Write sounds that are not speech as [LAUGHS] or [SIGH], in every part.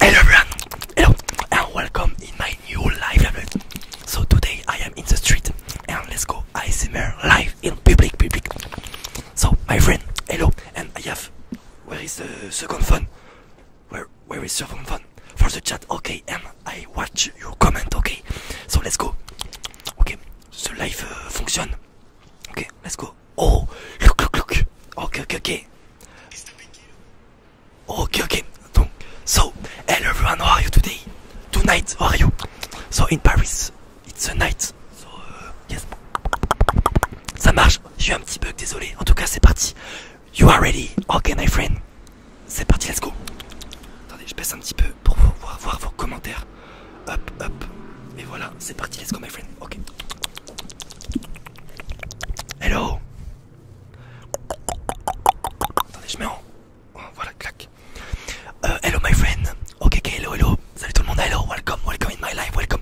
Hello everyone, hello and welcome in my new live. So today I am in the street and let's go ASMR live in public, public. So my friend, hello, and I have where is the second phone? Where where is second phone for the chat? Okay, and I watch your comment. Okay, so let's go. Okay, the live uh, function. Okay, let's go. Oh, look, look, look. ok, ok Ok, Okay, Donc, So, hello everyone, how are you today? Tonight, how are you? So, in Paris, it's a night. So, uh, yes. Ça marche. J'ai un petit bug, désolé. En tout cas, c'est parti. You are ready. Okay, my friend. C'est parti, let's go. Attendez, je baisse un petit peu pour voir vos commentaires. Hop, hop. Et voilà, c'est parti, let's go my friend. Ok. Hello. Attendez, je voilà, clac. Euh, hello my friend. Ok, hello, hello. Salut tout le monde, hello, welcome, welcome in my life, welcome.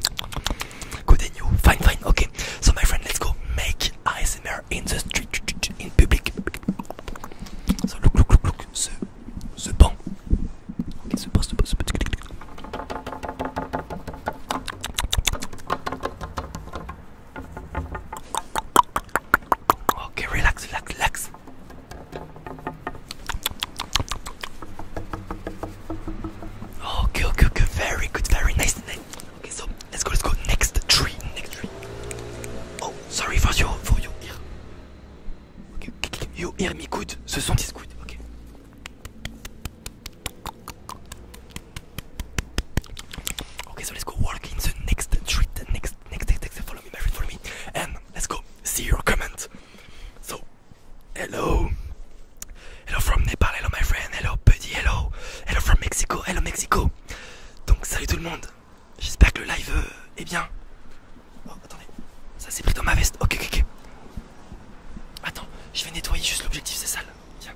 Good and you. Fine, fine, ok. So my friend, let's go make ASMR in the street, in public. So look, look, look, look. Ce, ce banc. Okay, so relax, relax, relax. Okay, okay, okay, very good, very nice. Okay, so let's go, let's go. Next tree, next tree. Oh, sorry for you, for you. Yo, Irmi you hear me good. Ce sont is good. Ok. Okay, so let's go walk in the next street. Next, next, next, next. Follow me, my friend, follow me. And let's go see your comment. So, hello. Hello from Nepal, hello my friend, hello buddy, hello. Hello from Mexico, hello Mexico. Donc, salut tout le monde. J'espère que le live euh, est bien. Oh, attendez, ça s'est pris dans ma veste. Ok, ok, ok. Attends, je vais nettoyer juste l'objectif, c'est sale. Tiens.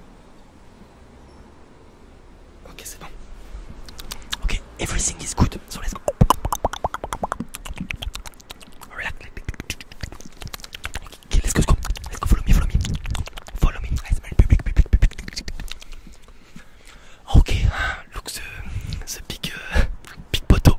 Ok, c'est bon. Ok, everything is good. So let's go. Relax. let's go, let's go. follow me, follow me. Follow me. I public, public, public. Ok, hein, look the, the big, euh, big poteau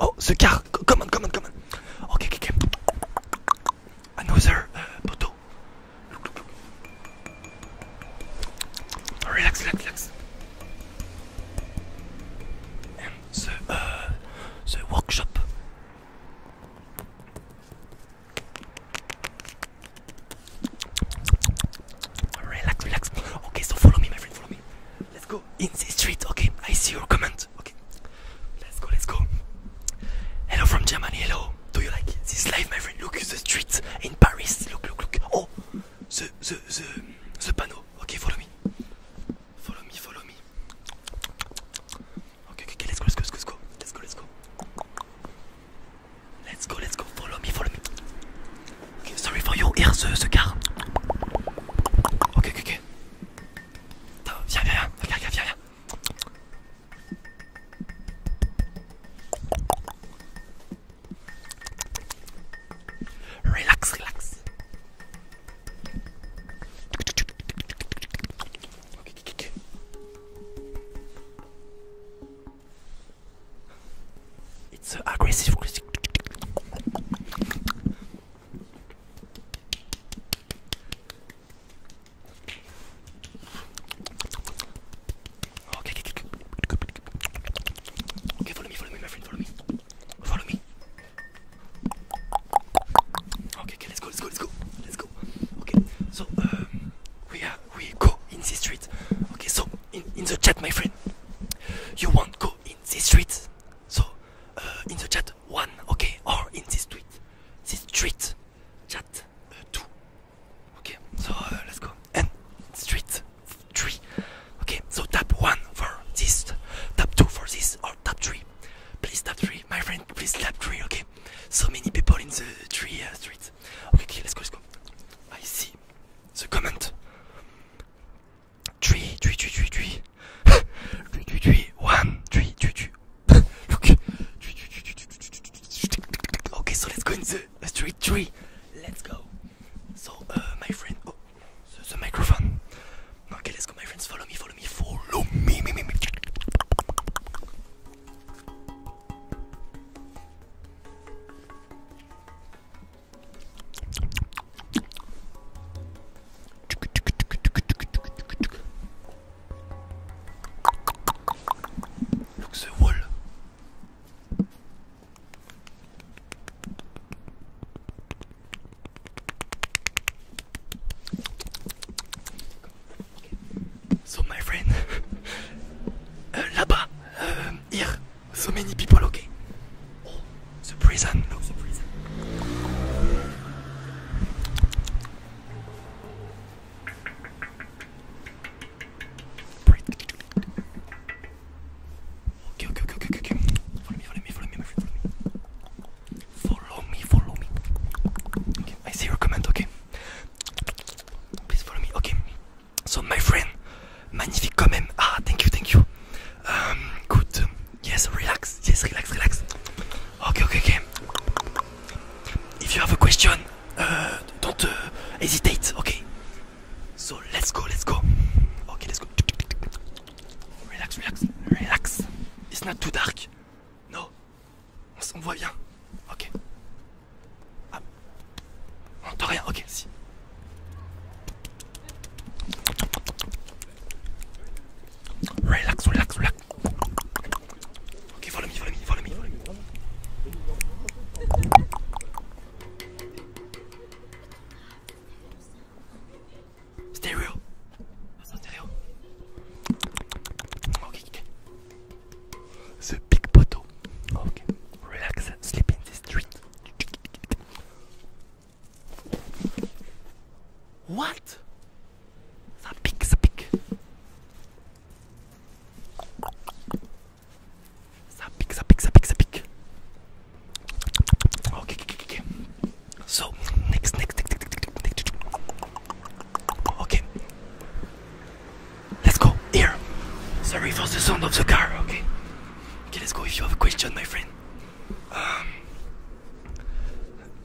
Oh, the car! Come on, come on, come on! Okay, okay, okay. Another uh, photo. Look, look, look. Relax, relax, relax. And the, uh, the workshop. Relax, relax. Okay, so follow me, my friend. Follow me. Let's go in the street. Okay, I see your comment. Okay, let's go. Let's go. Hello from Germany. Hello. Do you like this life, my friend? Look at the streets in Paris. Look, look, look. Oh, the the the the panel. Okay, follow me. Follow me. Follow me. Okay, okay, okay. Let's go. Let's go. Let's go. Let's go. Let's go. Let's go. Let's go, let's go, follow me, follow me. Okay, sorry for your ears, euh, ce car. Ok, ok, ok. Viens, viens, viens, viens, viens, viens. Relax, relax. It's aggressive. Okay, follow me, follow me, my friend, follow me. Follow me. Okay, okay, let's go, let's go, let's go. Let's go. Okay, so um, we are we go in the street. Okay, so in, in the chat, my friend, you want go in the street. So uh, in the chat one, okay, or in this street, this street chat uh, two. Okay, so uh, let's go and street three. Okay, so tap one for this, tap two for this, or tap three. Please tap three, my friend. Please tap three. Okay, so many people in the three uh, streets. it. Okay, okay, let's go, let's go. I see the comment. Three, three, three, three, three. [LAUGHS] three, three, three, one, three, three, three. Look. Three, three, three, three, three, three. Okay, so let's go in the uh, street three. Let's go. So, uh, my friend, oh, the, the microphone. Okay, let's go, my friends. Follow me, follow me, follow me, me, me, me. Look the wall. So my friend, [LAUGHS] euh, là-bas, euh, here, so many people, okay? Oh, the prison, Okay, okay, okay, okay, okay. Follow me, follow me, follow me, my friend, follow me. Follow me, follow me. Okay, I see your comment, okay? Please follow me. Okay. So my friend, magnifique quand Ah, thank you, thank you. Um, good. Yes, relax. Yes, relax, relax. Okay, okay, okay. If you have a question, uh, don't uh, hesitate. Okay. So let's go, let's go. Okay, let's go. Relax, relax, relax. It's not too dark. No. On voit bien. Ok. Ah. On entend rien. Ok, si. Relax, relax, relax. Ok, follow me, follow me, follow me, follow me. Stereo. Stereo. Ok, ok. The big bottle. Okay, relax and sleep in the street. What? The pig, the pig. The pig, the pig, the pig, the pig. Okay, okay, okay. So, next, next, next, next, next. Okay. Let's go. Here. Sorry for the sound of the car. Okay. Okay, let's go. If you have a question, my friend. Um,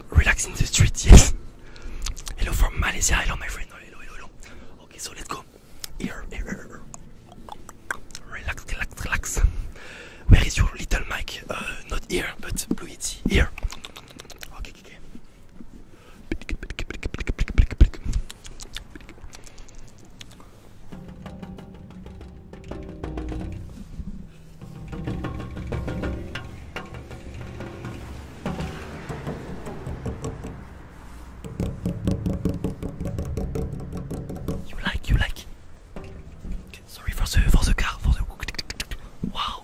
relax in the street. Yes. Hello from Malaysia. Hello, my friend. Hello, hello, hello. Okay, so let's go. Here. here, Relax, relax, relax. Where is your little mic? Uh, not here, but Blue, it's here. Okay, okay, okay. You like, you like. Okay, sorry for the for the car, for the wow.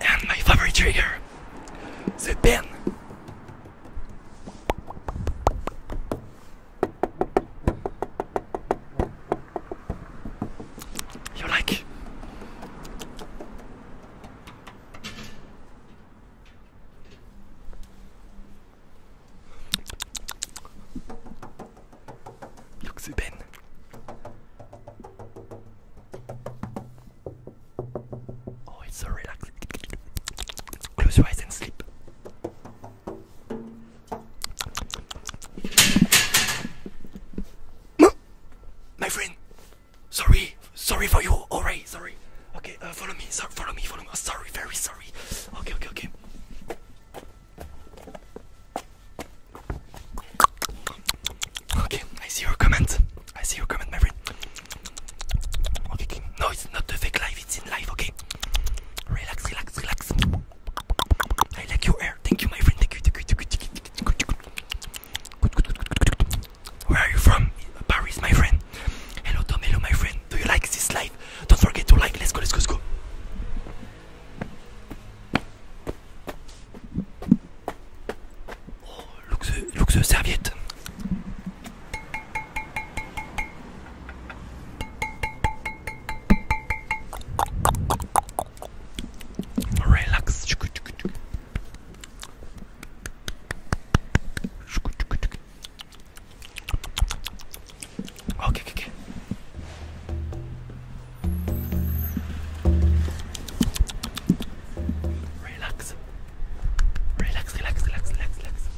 And my favorite trigger, the You like? Look the pen. Oh, it's so relaxing. Close your eyes and sleep. My friend, sorry, sorry for you. Alright, sorry. Okay, uh, follow me. So, follow me. Follow me. Oh, sorry, very sorry. Okay, okay, okay. Okay, I see your comment. I see your comment, my friend. Okay, okay. no, it's not the fake life, it's in life, okay? Relax, relax, relax. I like your hair. Thank you, my friend. Thank you, thank you, thank you, thank you. Thank you. Good, good, good, good, good, good. Where are you from? Paris, my friend. Hello, Tom. Hello, my friend. Do you like this life? Don't forget to like. Let's go, let's go, let's go. Oh, luxe, luxe serviette. Relax. Ok, ok, ok. Relax. Relax, relax, relax, relax, relax.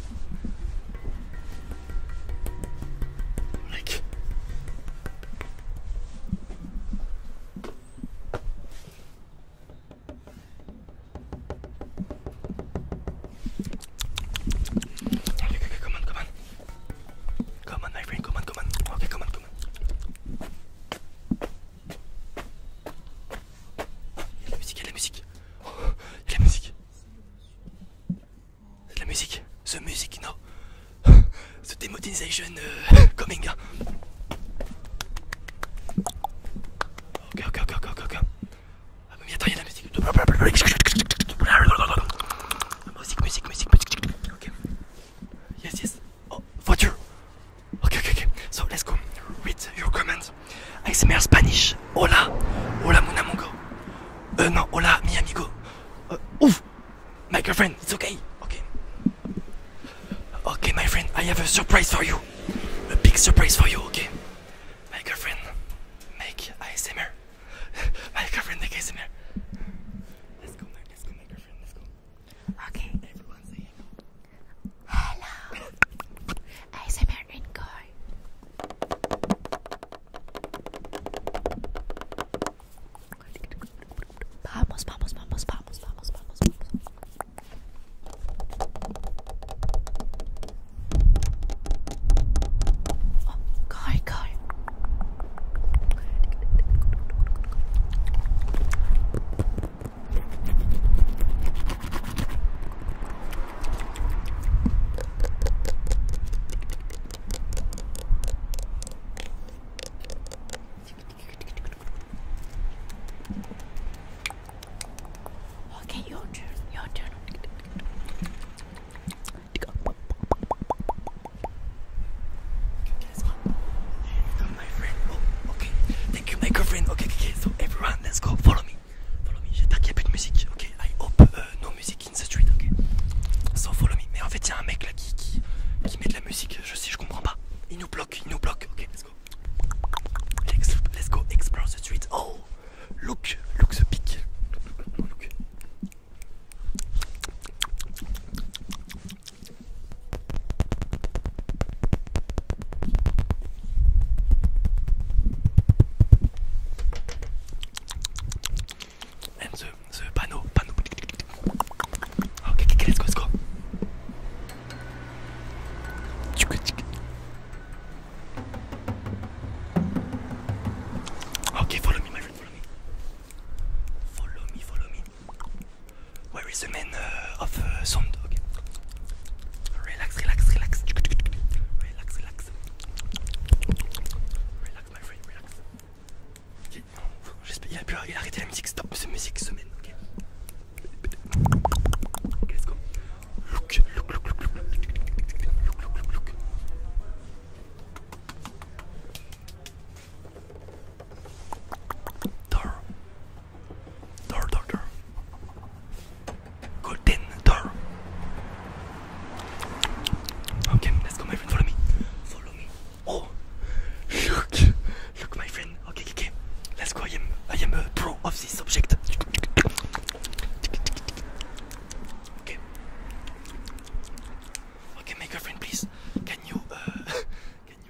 come on, come on. Come on, my friend, come on, come on. Okay, come on. Il y a de la musique, il y a de la musique. il y a de la musique. C'est de la musique. The music, no. The demonetization uh, coming. Hein. Ok, ok, ok, ok, ok. Ah, mais attends, il y a de la musique. Musique, musique, musique, musique. Ok. Yes, yes. Oh, voiture. Okay, okay, okay. So let's go. Read your comments ASMR Spanish. Hola. Hola, mon amigo. Euh, non, hola, mi amigo. Uh, ouf. My girlfriend, it's okay. Okay. Okay, my friend, I have a surprise for you. A big surprise for you, okay? My girlfriend, make ASMR. [LAUGHS] my girlfriend, make ASMR. Let's go, let's go, my girlfriend, let's go. Okay. Everyone say hello. Hello. ASMR Enjoy. vamos, vamos, vamos, vamos, vamos, vamos. Oh, guy, guy. Okay, your turn, your turn. Ok, ok, ok. Alors, tout le monde, let's go, follow me. Follow me, j'espère qu'il n'y a plus de musique. Ok, j'espère que nos musique dans la rue, ok. Donc, follow me. Mais en fait, il y a un mec là qui met de la musique. Je sais, je comprends pas. Il nous bloque, il nous bloque. Ok, let's go. Let's go, explore la rue. Oh, look, look the peak. And the, the panneau, panneau. Okay, go, let's go. Okay, follow me, follow me. Where is the man de euh, of uh, sound? Relax, relax, relax. Relax, relax. Relax, my friend, relax. Il a, arrêté la musique, stop, c'est musique semaine. mène. ok, let's go. Look, look, look, look, look, look, look, look, look. Dur. Dur, dur, dur. Golden Dur. Okay, let's go, my friend. Follow me. Follow me. Oh, look. Look, my friend. Okay, okay. Let's go. I am, I am a pro of this object. Okay. Okay, my girlfriend, please. Can you, uh, [LAUGHS]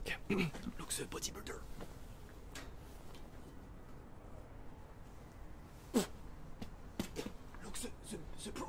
Okay, okay. Looks a bodybuilder. Look, the, the, the pro.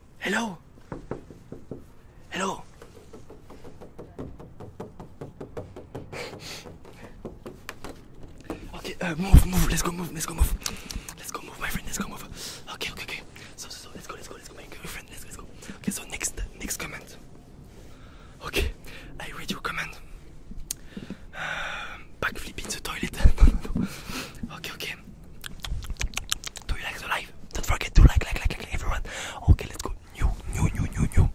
Hello? Hello? okay, uh, move, move, let's go move, let's go move. Let's go move, my friend, let's go move. Okay, okay, okay. So, so, so let's go, let's go, let's go, my friend, let's, let's go. Okay, so next, next comment. Okay, I read your comment. Uh, backflip in the toilet. [LAUGHS] no, no, no. Okay, okay. Do you like the live? Don't forget to like, like, like, like, everyone. Okay, let's go. New, new, new, new, new.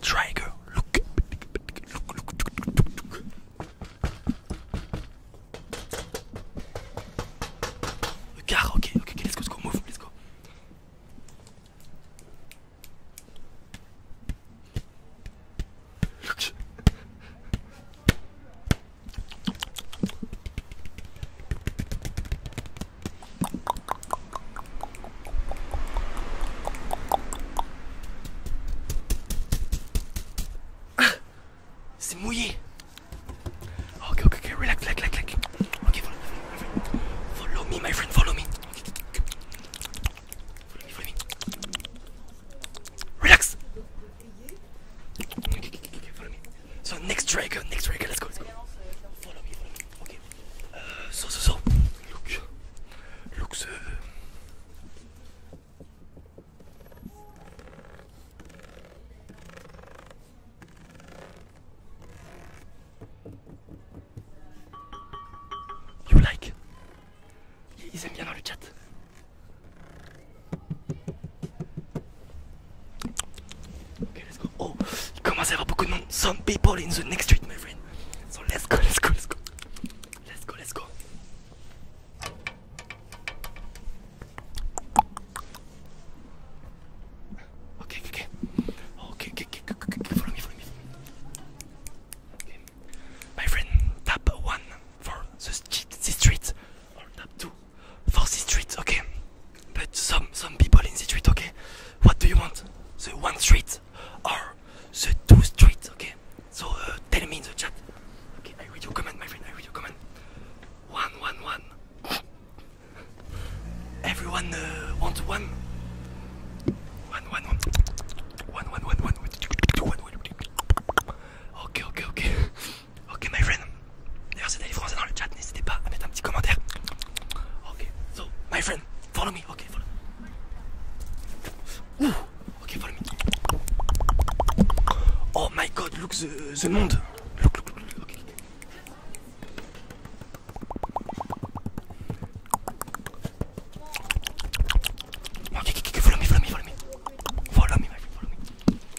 Trigger. Look. Look, look, look, look, look. The car. Okay, okay, Let's go, let's go. Move. Let's go. Ah, c'est mouillé Ok, ok, ok, relax, relax, relax, follow, me, my friend, follow me. Relax ok ok ok, follow me. So next trigger, next trigger, let's go, Follow me, follow me. ok uh, so, so, so. Look. Look so You like Ils aiment bien dans le chat. Okay, let's go. Oh, il commence à y avoir beaucoup de monde. Some people in the next street, my friend. So let's go, let's go, let's go. Let's go, let's go. Okay, okay, okay. Okay, okay, okay, okay, okay. Follow me, follow me. Okay. My friend, tap one for the street. The street or not too for okay? But some some people in the street, okay? What do you want? The one street or the two streets, okay? So uh, tell me in the chat. Okay, I read your comment, my friend. I read your comment. One, one, one. Everyone uh, wants one. Okay, okay, okay. Ok, my friend. D'ailleurs, c'est vous les français dans le chat, n'hésitez pas à mettre un petit commentaire. Ok, so, my friend, follow me. Ok, follow me. Ouh, ok, follow me. Oh my god, look the, the monde. Look, look, look, look. ok follow me, follow me, follow me. Follow me, my friend, follow me.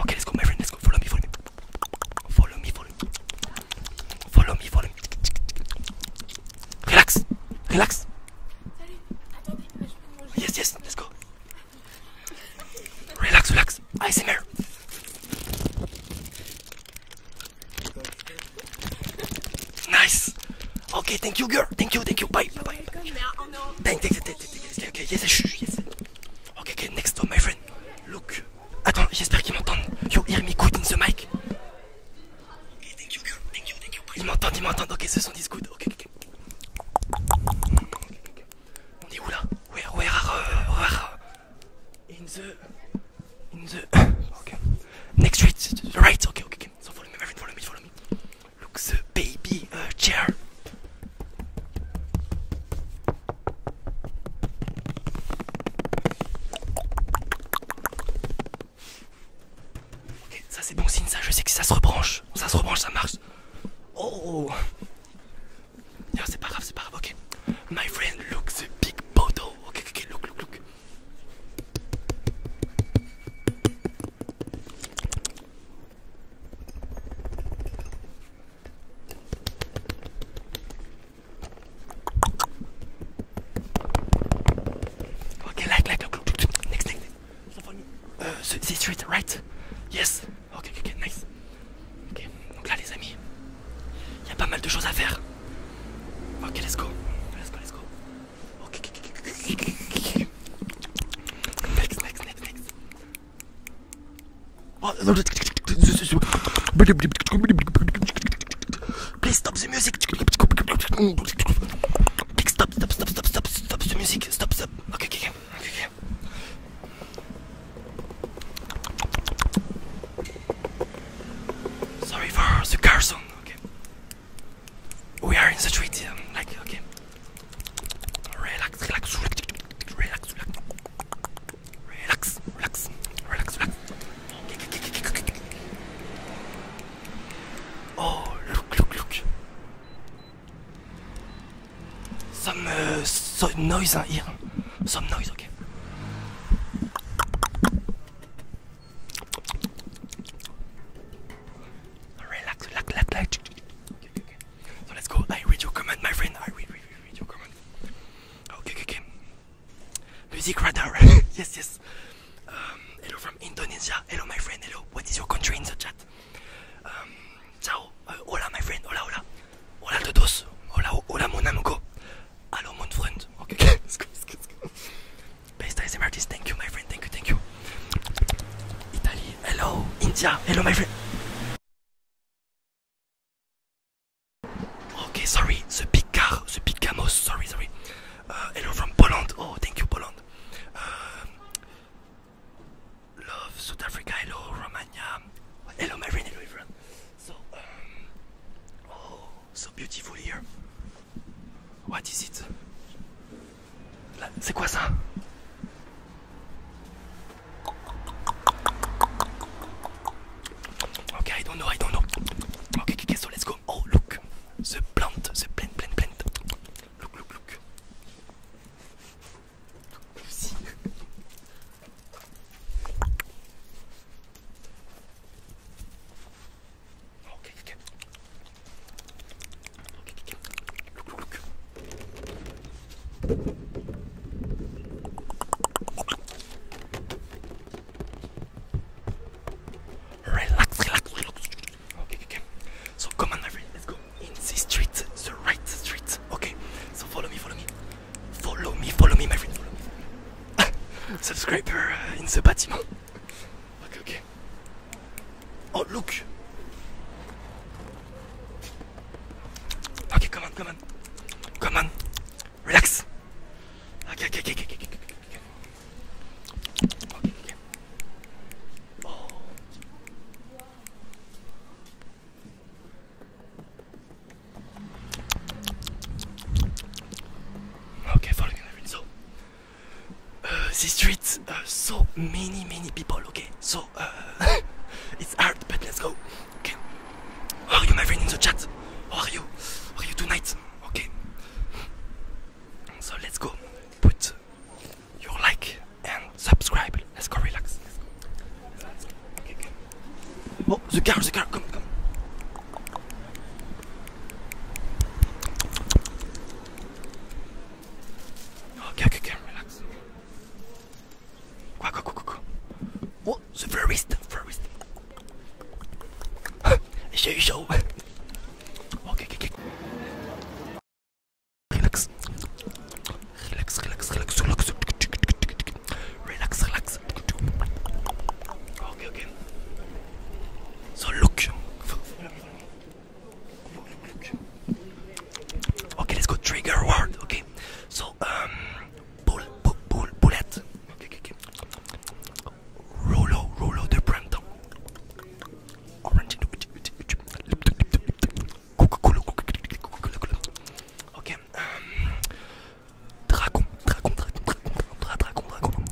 Okay, let's go, my friend. Let's go. Follow me, follow me. Follow me, follow me. Relax, relax. Yes, yes, let's go. Relax, relax. I see, ASMR. Nice. Okay, thank you, girl. Thank you, thank you. Bye, bye, bye. Thank, thank, thank, Okay, yes, yes. Okay, next one my friend. Look. Attends, j'espère qu'ils m'entendent. You hear me good in the mic. Okay, thank you, girl. Thank you, thank you. Ils m'entendent, ils m'entendent. Ok, ce sont is good. Ok, ok. On est où là? Where, where are, uh, where? In the, in the. [COUGHS] Okay. Next street, right. ok okay, So follow me, my friend. Follow me, follow me. Look the baby uh, chair. Ok, ça c'est bon signe, ça je sais que ça se rebranche, ça se rebranche, ça marche. Oh Non ah, c'est pas grave, c'est pas grave, ok. My friend, look the big bottle. Ok, ok, look, look, look. Okay, like, like, look, next, thing Uh, this street, right? Yes. Ok, ok, ok, nice. Ok, donc là, les amis, il y a pas mal de choses à faire. Ok, let's go. Let's go, let's go. Next, next, next, next. Oh, no. Please stop the music. Please stop, stop, stop, stop, stop, stop the music. Stop, stop. Okay, okay, okay. Sorry for the car sound. Okay. We are in the street, um, like okay. Relax, relax, relax, relax, relax, relax, relax, relax. Oh, look, look, look! Some uh, so noise here. Some noise, okay. Relax, relax, relax, relax. Okay, okay, okay. So let's go. I read your comment, my friend. I read, read, read, read your comment. Okay, okay, okay. Music radar. [LAUGHS] yes, yes. Um, hello from Indonesia. Hello, my friend. Hello. What is your country in the chat? Um, ciao. Uh, hola, my friend. Hola, hola. Hola, todos. Hola, hola, mon amigo. Hello, mon friend. Okay, okay. [LAUGHS] let's go, let's go, let's go. Best Based ASMR artist, thank you, my friend, thank you, thank you. Italy, hello, India, hello, my friend. Okay, sorry, the picard, the picamos. sorry, sorry. Uh, hello from Poland, oh, thank you, Poland. Uh, love South Africa, hello, Romania. Hello, my friend, hello, everyone. So, um, oh, so beautiful here. What is it C'est quoi ça Ok, I don't know, I don't know. Ok, okay so let's go. Oh, look. The plant, the plant, plant, plant. Look, look, look. Ok, ok. Ok, ok. Look, look, Relax, relax, relax. Okay, okay. So come on, my friend. Let's go in this street, the right street. Okay. So follow me, follow me, follow me, follow me, my friend. Follow me. Subscriber uh, in the bâtiment. Okay, okay. Oh, look! Okay, come on, come on. Come on. Relax. Okay, okay, okay, okay, okay. okay. okay, okay. Oh. Okay, following the wind. So, uh, [SIGHS] the streets, uh, so many, many people, okay? So, uh, [LAUGHS] it's hard, but let's go, okay? How are you, my friend, in the chat? How are you? How are you tonight? Okay. So, let's go. Put your like and subscribe. Let's go, relax. Let's go. Let's go. Okay, okay. Oh, the car, the car, come, come. Okay, okay, okay, relax. Go, go, go, go, go. Oh, the first, first. show, show. Okay, okay, okay. Relax. Relax, relax, relax, relax. Relax, relax. Okay, okay. So look. Okay, let's go. Trigger word. Okay. So, um, bull, bullet. Rolo, Rolo, de Okay. Um, dragon, dragon, dragon, dragon, dragon, dragon.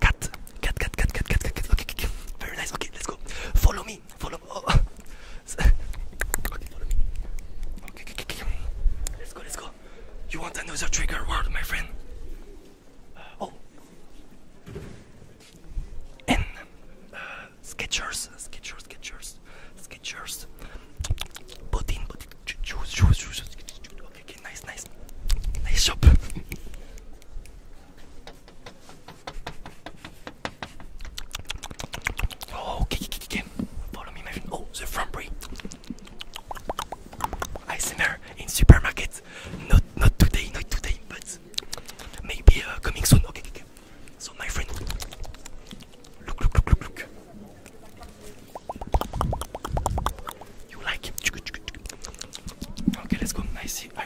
Cat, cat, cat, cat, cat, cat, cat, cat. Okay, okay, very nice. Okay, let's go. Follow me. Follow. Oh. [LAUGHS] Okay, follow me. Okay, okay, okay, let's go, let's go. You want another trigger word, my friend? Uh, oh, and uh, sketchers, sketchers, sketchers, sketchers. Put in, put in. Choose, choose, choose. Okay, okay, nice, nice, nice shop. [LAUGHS] Oh, okay, okay, okay. Follow me, my friend. Oh, the Frombery. I see her in supermarkets. Not, not today, not today, but maybe uh, coming soon. Okay, okay, okay. So, my friend, look, look, look, look, look. You like him? Okay, let's go. I see.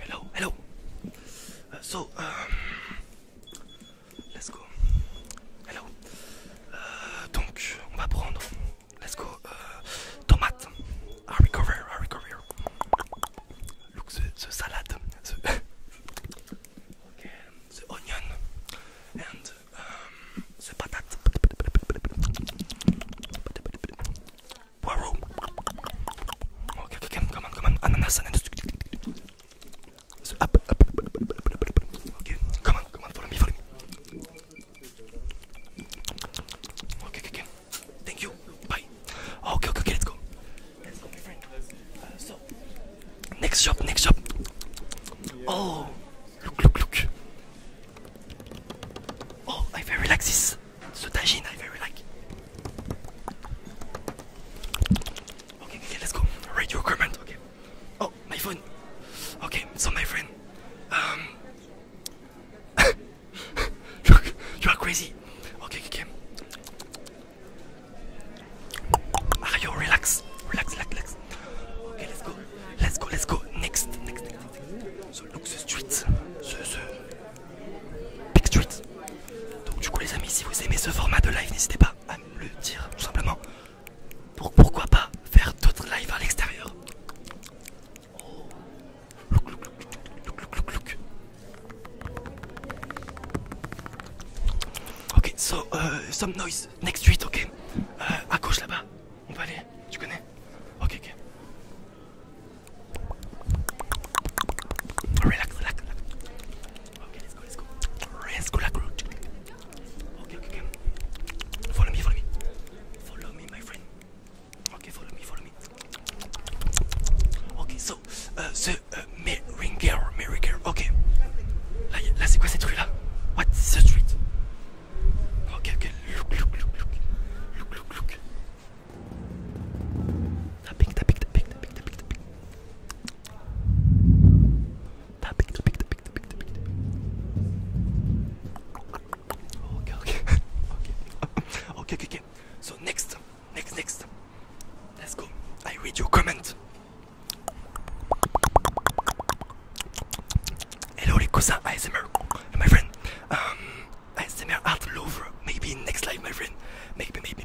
Hello, hello. Uh, so, uh, let's go. Hello. Uh, donc, on va prendre. Let's go. Uh, tomate. I recover, I recover. Look, the, the salad. The [LAUGHS] okay. The onion. And the um, patate. Waru. Okay, okay, come on, come on, ananas, ananas. So up, up, up, up, up, up, up, up. Okay, come on, come on, follow me, follow me. Okay, okay, okay. Thank you. Bye. Okay, okay, okay, let's go. Let's go, my friend. Uh, so, next shop, next shop. Oh, look, look, look. Oh, I very like this. Ce The tajin I very like. Okay, okay, let's go. Radio your comment. Okay. Oh, my phone. Okay, so my friend. Um. [LAUGHS] you, are, crazy. Okay, okay. Are ah, you relax? Relax, relax, relax. Okay, let's go. Let's go, let's go. Next, next, next. next. So look the streets. The, the, donc du coup les amis, si vous aimez ce format de live, n'hésitez pas à me le dire tout simplement. Pour, pourquoi pas faire d'autres lives à l'extérieur oh. Look, look, look, look, look, look. Ok, so euh, some noise next street, ok. Euh, à gauche là-bas, on va aller. Tu connais Ok, ok. Relax, relax, relax. Okay, let's go, let's go. Let's go, like root. Okay, okay, okay. Follow me, follow me. Follow me, my friend. Okay, follow me, follow me. Ok, so, euh, the euh, Meringer, Meringer, ok. Là, là c'est quoi ces What's the street Ok, ok, Okay, okay. [LAUGHS] okay. okay, okay, So next, next, next. Let's go. I read your comment. Hello, Rikusa ASMR, my friend. Um, ASMR at Louvre. Maybe next live, my friend. Maybe, maybe.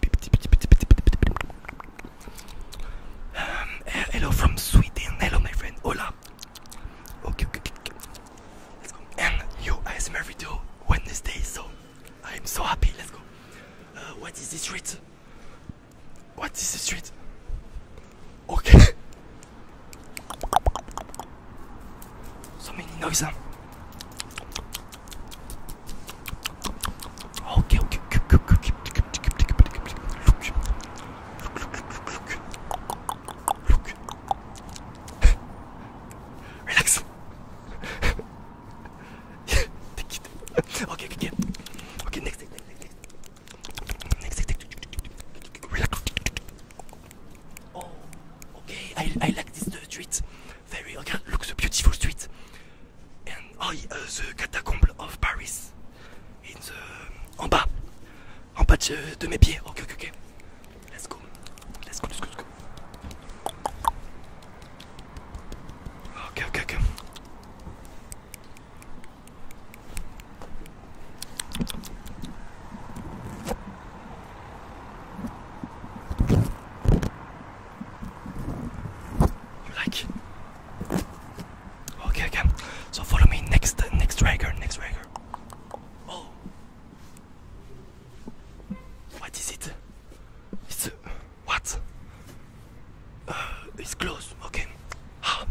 Um, hello from Sweden. Hello, my friend. Hola. Okay, okay, okay. Let's go. And you ASMR video Wednesday, so I'm so happy. Let's go. Uh, what is this street? What is this street? Okay. [LAUGHS] so many noises. Huh? Okay, okay, okay, okay, okay. Relax. yeah, take it. Okay, okay, okay. Okay, next, next, next, next. Next, next, next. Relax. Oh, okay. I I like this uh, treat. very again look the beautiful street and oh, uh, the catacombs of Paris in the en bas en bas de, mes pieds ok ok ok let's go let's go let's go, let's go. Okay, ok You like it? Okay, okay. So follow me next, next trigger, next trigger. Oh, what is it? It's uh, what? Uh, it's close. Okay. Ah.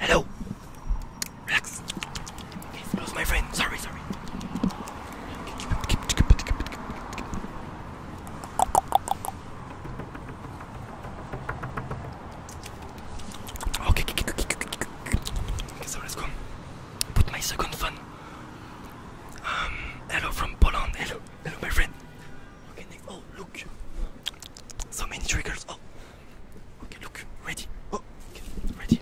Hello. Relax. It was my friend. Sorry, sorry. Okay, so let's go. Put my second phone. Um, hello from Poland. Hello, hello, my friend. Oh, look. So many triggers. Oh. Okay, look. Ready. Oh, okay, ready.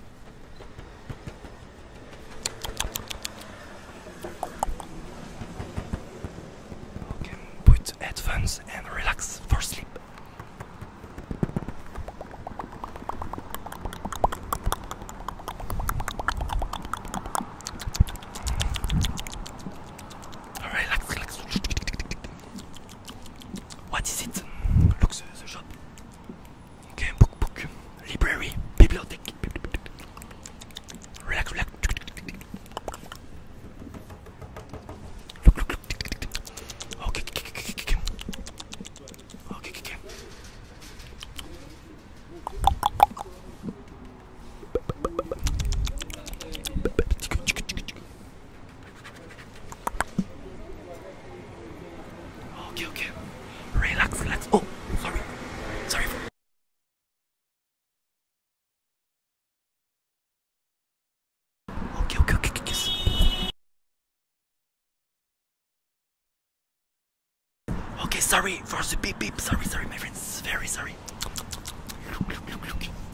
Okay, put headphones and relax for sleep. Relax, relax. What is it? c'est shop. Okay, book, book. Library, bibliothèque. Relax, relax. Look, look, okay, okay. Okay, okay. Okay, okay. Relax, relax. Oh, sorry. Sorry for Okay, okay, okay, kiss. Okay, sorry for the beep beep. Sorry, sorry, my friends. Very sorry.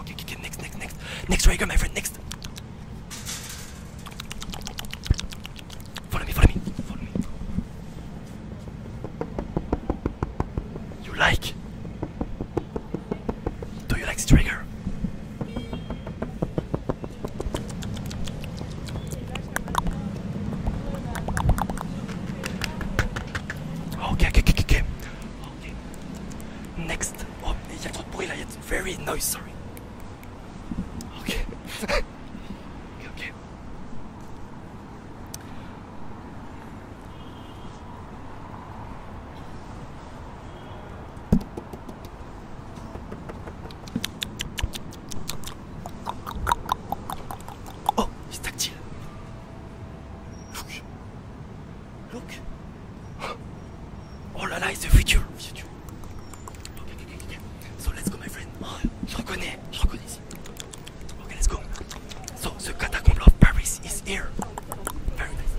Okay, okay, next, next, next. Next trigger, my friend, next. Follow me, follow me, follow me. You like? Do you like trigger? Okay, okay, okay, okay. Next. Oh, я тут было, it's very noisy. [LAUGHS] Okay. okay. Oh, it's tactile. Look. Look. Oh là là, is the future. future. Okay, okay, So let's go, my friend. je reconnais, je reconnais ici. Okay, let's go. So the catacomb of Paris is here. Very nice.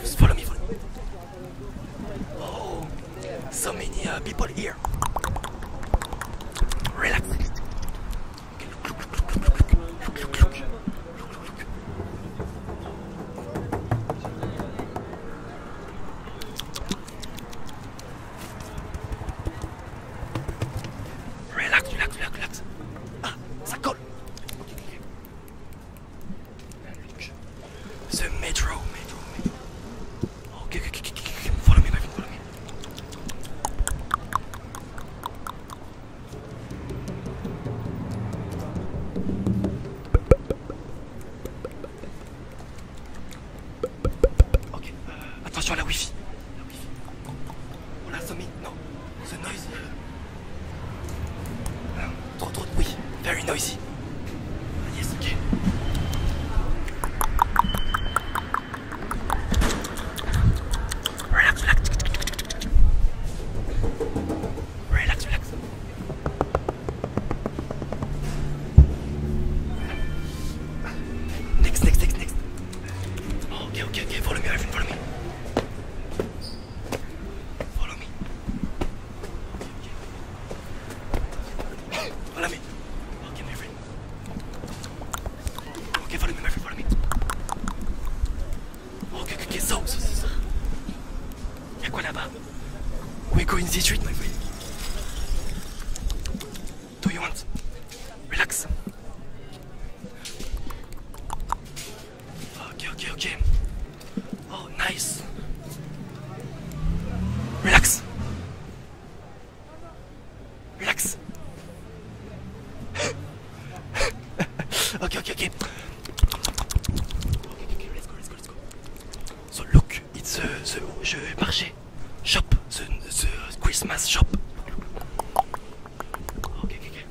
Just follow me, follow me. Oh, so many uh, people here. Relax. Relax, relax, relax, relax. Ah, ça colle. métro métro metro, oh me, follow me. Ok, euh, attention à la wifi. La wifi. On l'a sommet Non, c'est noisy. Ah, trop trop de bruit. Very noisy. Ah, yes, ok. Relax, relax. Relax, relax. Next, next, next, next. Oh, okay, okay, okay. Follow me, Irvin. Follow me. Follow me. Okay, okay. Follow me. Okay, my friend. Okay, follow me, my friend, follow me. Okay, okay, okay, so, so, so, so. We go in the street, my friend. Do you want? Relax. Okay, okay, okay. Oh, nice. Relax. Relax. ok, ok, ok. So look, it's the, the, shop, the, the Christmas shop. ok ok ok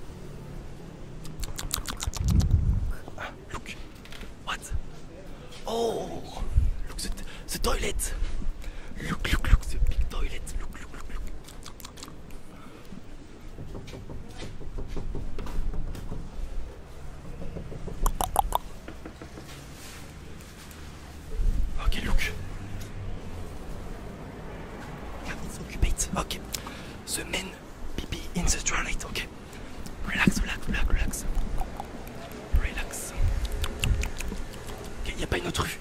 ah, look, what? Oh, look the, the toilet. Look, look, look the big toilet. Look, look, look, Ok, look. It's occupied. Ok. The Pipi. in the toilet. Ok. Relax, relax, relax, relax. Relax. Ok, il a pas une autre rue.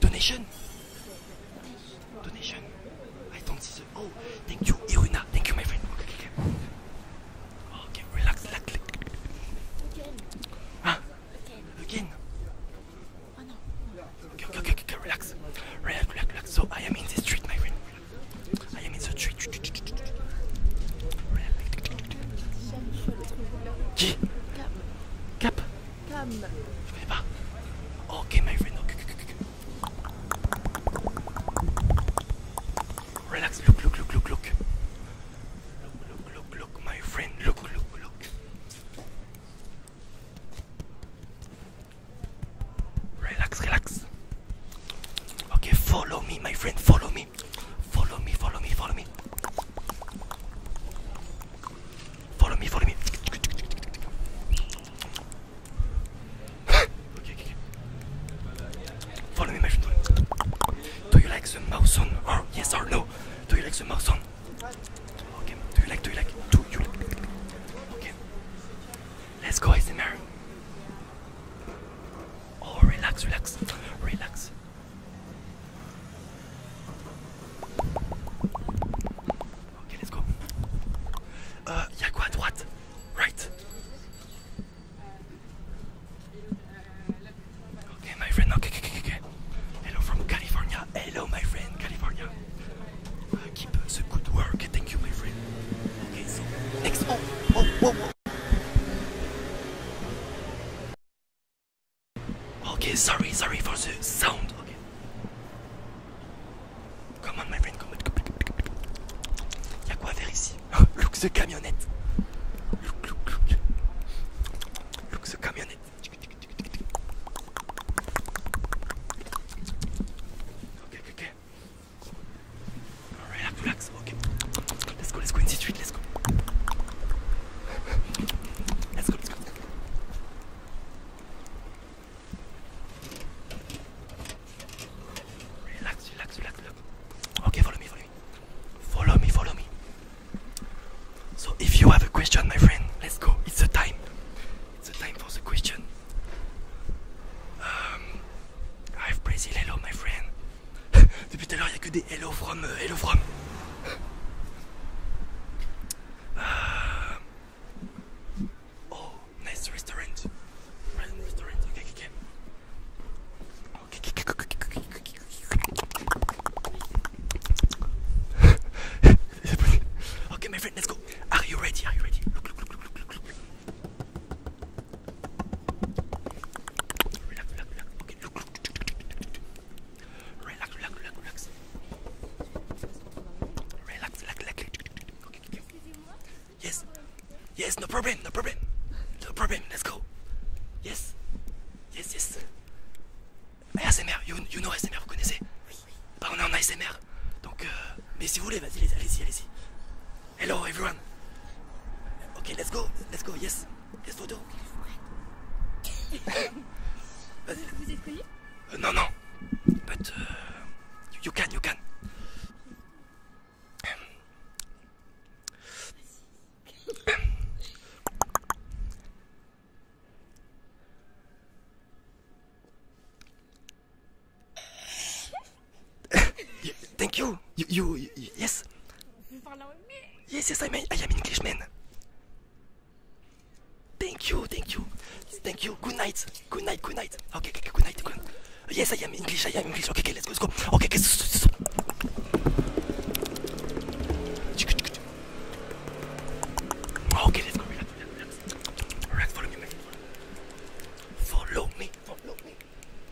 Donation. Donation. I don't see the. Oh, thank you, Iruna. Thank you, my friend. Okay, okay, okay. Okay, relax, relax. Again. Ah. Again. Oh no. Okay, okay, okay, okay, relax. Relax, relax, relax. So I am in the street, my friend. I am in the tree. Qui Cap. Cap Cam. Je connais pas. Ok, my friend. Okay, Relax. Look, look, look, look, look. Look, look, look, look, my friend. Look, look, look. Relax, relax. Okay, follow me, my friend. Follow me. Follow me, follow me, follow me. Follow me, follow me. okay, okay, okay. Follow me, my friend. Do you like the mouse on? Or yes or no? Do you like the mouse on? Okay, do you like, do you like, do you like? Okay. Let's go, ASMR. Oh, relax, relax, relax. Ok, let's go. Euh, y'a quoi à Right. Okay, my friend, okay, okay, okay, okay. Hello from California. Hello, my friend, California. Uh, keep the good work. Thank you, my friend. Okay, so Okay, sorry, sorry for the sound. Okay. Come on, my friend, come Y'a quoi faire ici? [LAUGHS] Look the camionnette. Look, look, look. camionnette. ok. Alright, relax, okay. Let's go, let's go in the street, let's go. Let's go, let's go. Relax, relax, relax, relax. Okay, follow me, follow me. Follow me, follow me. So if you have a question, my friend, let's go. It's the time. It's the time for the question. Um, I've Brazil, hello my friend. Depuis tout à l'heure, il n'y a que des hello from, hello from. Oh, nice restaurant. Restaurant, ok, ok, my friend, let's go. Are you ready? Are you ready? look, look, look. Relax, relax, relax. Relax, relax, relax, relax. Relax, relax, relax. Yes. Yes, no problem, no problem. No problem, let's go. Yes. Yes, yes. ASMR, you, know ASMR, vous connaissez Bah on est en ASMR. Donc, euh, mais si vous voulez, vas-y, allez-y, allez-y. Hello, everyone. Okay, let's go. Let's go. Yes. Yes, photo. Vous [LAUGHS] no. payé uh, But you can, you can. [LAUGHS] Thank you. You, you, you yes. Yes, yes, I, may, I am Englishman. Thank you, thank you, thank you. Good night, good night, good night. Okay, okay, good night, good night. Yes, I am English, I am English. Okay, okay, let's go, let's go. Okay, okay. Okay, let's go. Relax, relax, relax. Follow me, man. Follow me, follow me.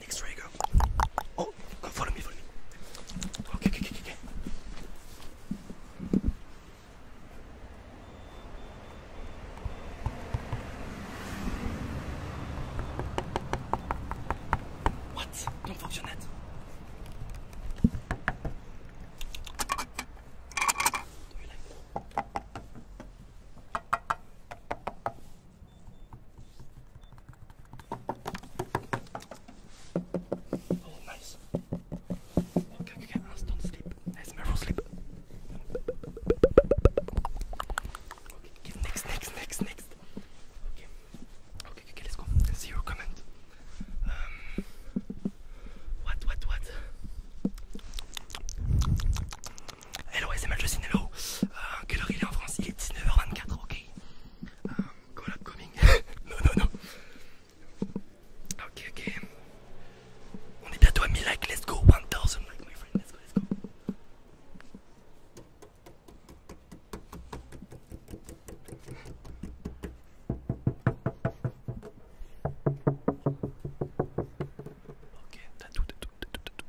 Next ray, go. Oh, come follow me, follow me. Okay, okay, okay, okay. What? Non fonctionnette. Do you Oh, nice. Okay, okay, okay. don't sleep. ASMR will sleep. Okay, next, next, next, next. Okay, okay, okay, let's go. See your comment. Um, what, what, what? Hello, c'est Mathieu Sinello. Euh, quelle heure il est en France Il est 19h24, ok. Euh, call upcoming. [LAUGHS] non, non, non. Ok, ok. On est bientôt à 1000 likes, let's go. 1000 likes, my friend, let's go, let's go. Ok, t'as tout, t'as tout, t'as tout, tout.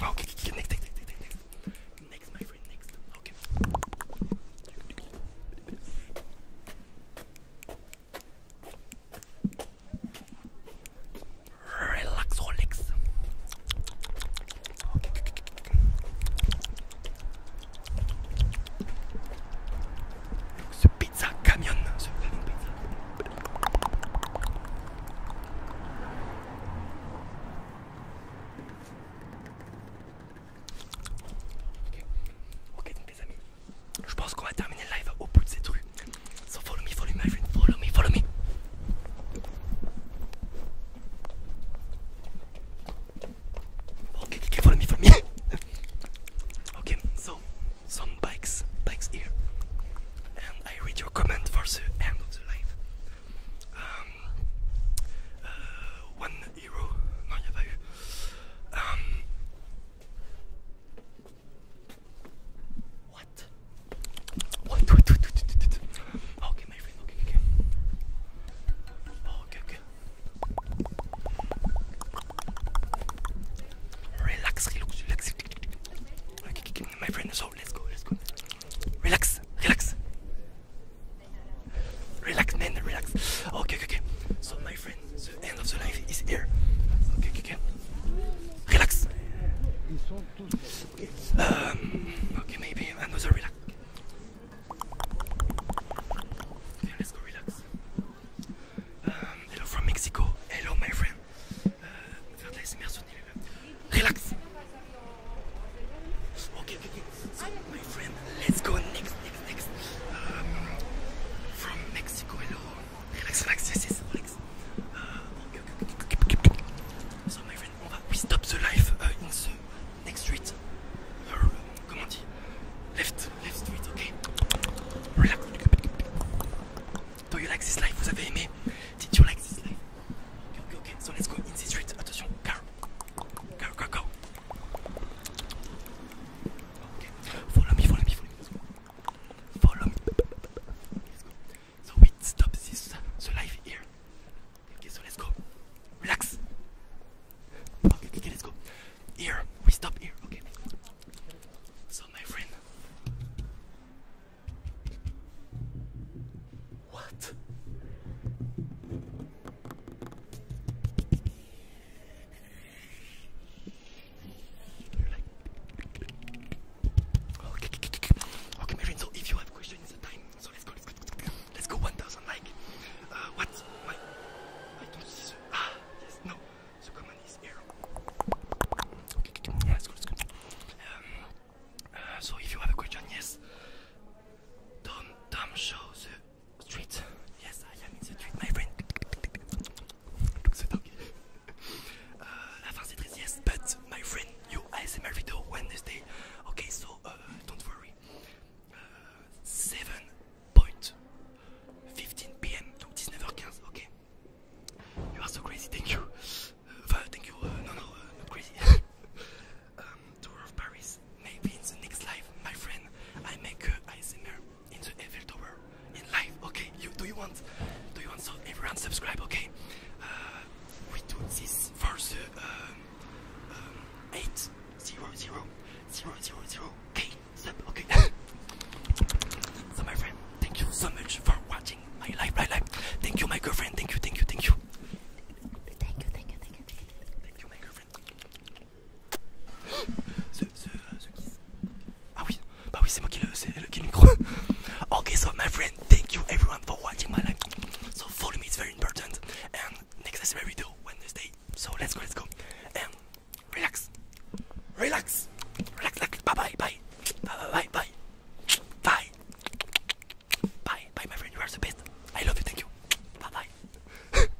Okay, next, next, next, next, next, my friend, next. Okay. Relax, relax. Ce pizza camion, ce fameux pizza. Ok, ok donc les amis, je pense qu'on va terminer le live au bout de ces trucs. So follow me, follow me, my friend. Follow me, follow me. Okay, okay, follow me, follow me. [LAUGHS] okay, so some bikes, bikes here, and I read your comment for the end of the live. Um, euh, one euro, non, il n'y a pas eu. Um, what? What? What? what, what, what, Okay, my friend. Okay, okay. Okay, okay. Relax, relax, relax. Okay, okay, my friend. So let's go, let's go. Relax, relax. Relax, man, relax. Okay, okay, okay. So my friend, the end of the life is here. okay, okay. Relax. Um, okay, maybe another relax. let's go relax. Um, hello from Mexico. Hello, my friend. Uh, relax. Okay, okay, my friend, let's go next, next, next. Um, from Mexico, hello. Relax, relax, yes, yes, relax. okay, euh, So my friend, on va we stop the life uh, in the next street. Uh, comment on dit Left, left street, ok. Relax. Do you like this life Vous avez aimé Did you like this life Okay, okay, So let's go in this street. Attention, car. Go, go, go. Follow me, follow me, follow me. Follow me. Let's go. So we stop this So live here. Okay, so let's go. Relax. Okay, okay, let's go. Here, we stop here. Okay. So my friend. What? Okay, okay, my friend. So if you have questions, it's the time. So let's go. Let's go. Let's go. One thousand like. Uh, what? My, I don't see. ah, yes. No. The command is here. Okay. Yeah, let's go. Let's go. Um, uh, so if you have a question, yes. Tom, Tom, show the street. Yes, I am in the street, my friend. Donc c'est euh, yes, but my friend, you ASMR video Wednesday. Okay, so euh, don't worry. Euh, 7.15 pm, donc 19 okay You are so crazy, thank you. no, no, crazy. [LAUGHS] Um, tour of Paris, maybe in the next life, my friend, I make uh, ASMR in the Eiffel Tower in life. Okay, you do you want? Do you want so everyone subscribe? Okay, uh, we do this for the um, uh, um, eight zero zero zero zero zero k sub. Okay. [LAUGHS] so my friend, thank you so much for watching my live my live. Thank you, my girlfriend. Thank you, thank you, thank you. Thank you, thank you, thank you, thank you, thank you, my girlfriend. The, the, the kiss. Ah oui, Bah oui, c'est moi qui le, c'est le, qui le micro. okay, so my friend, thank you everyone for watching my live. So follow me, it's very important. And next is my video Wednesday. So let's go, let's go. And relax, relax, relax. relax. Bye bye bye bye bye bye bye bye bye. My friend, you are the best. I love you. Thank you. Bye bye. [LAUGHS]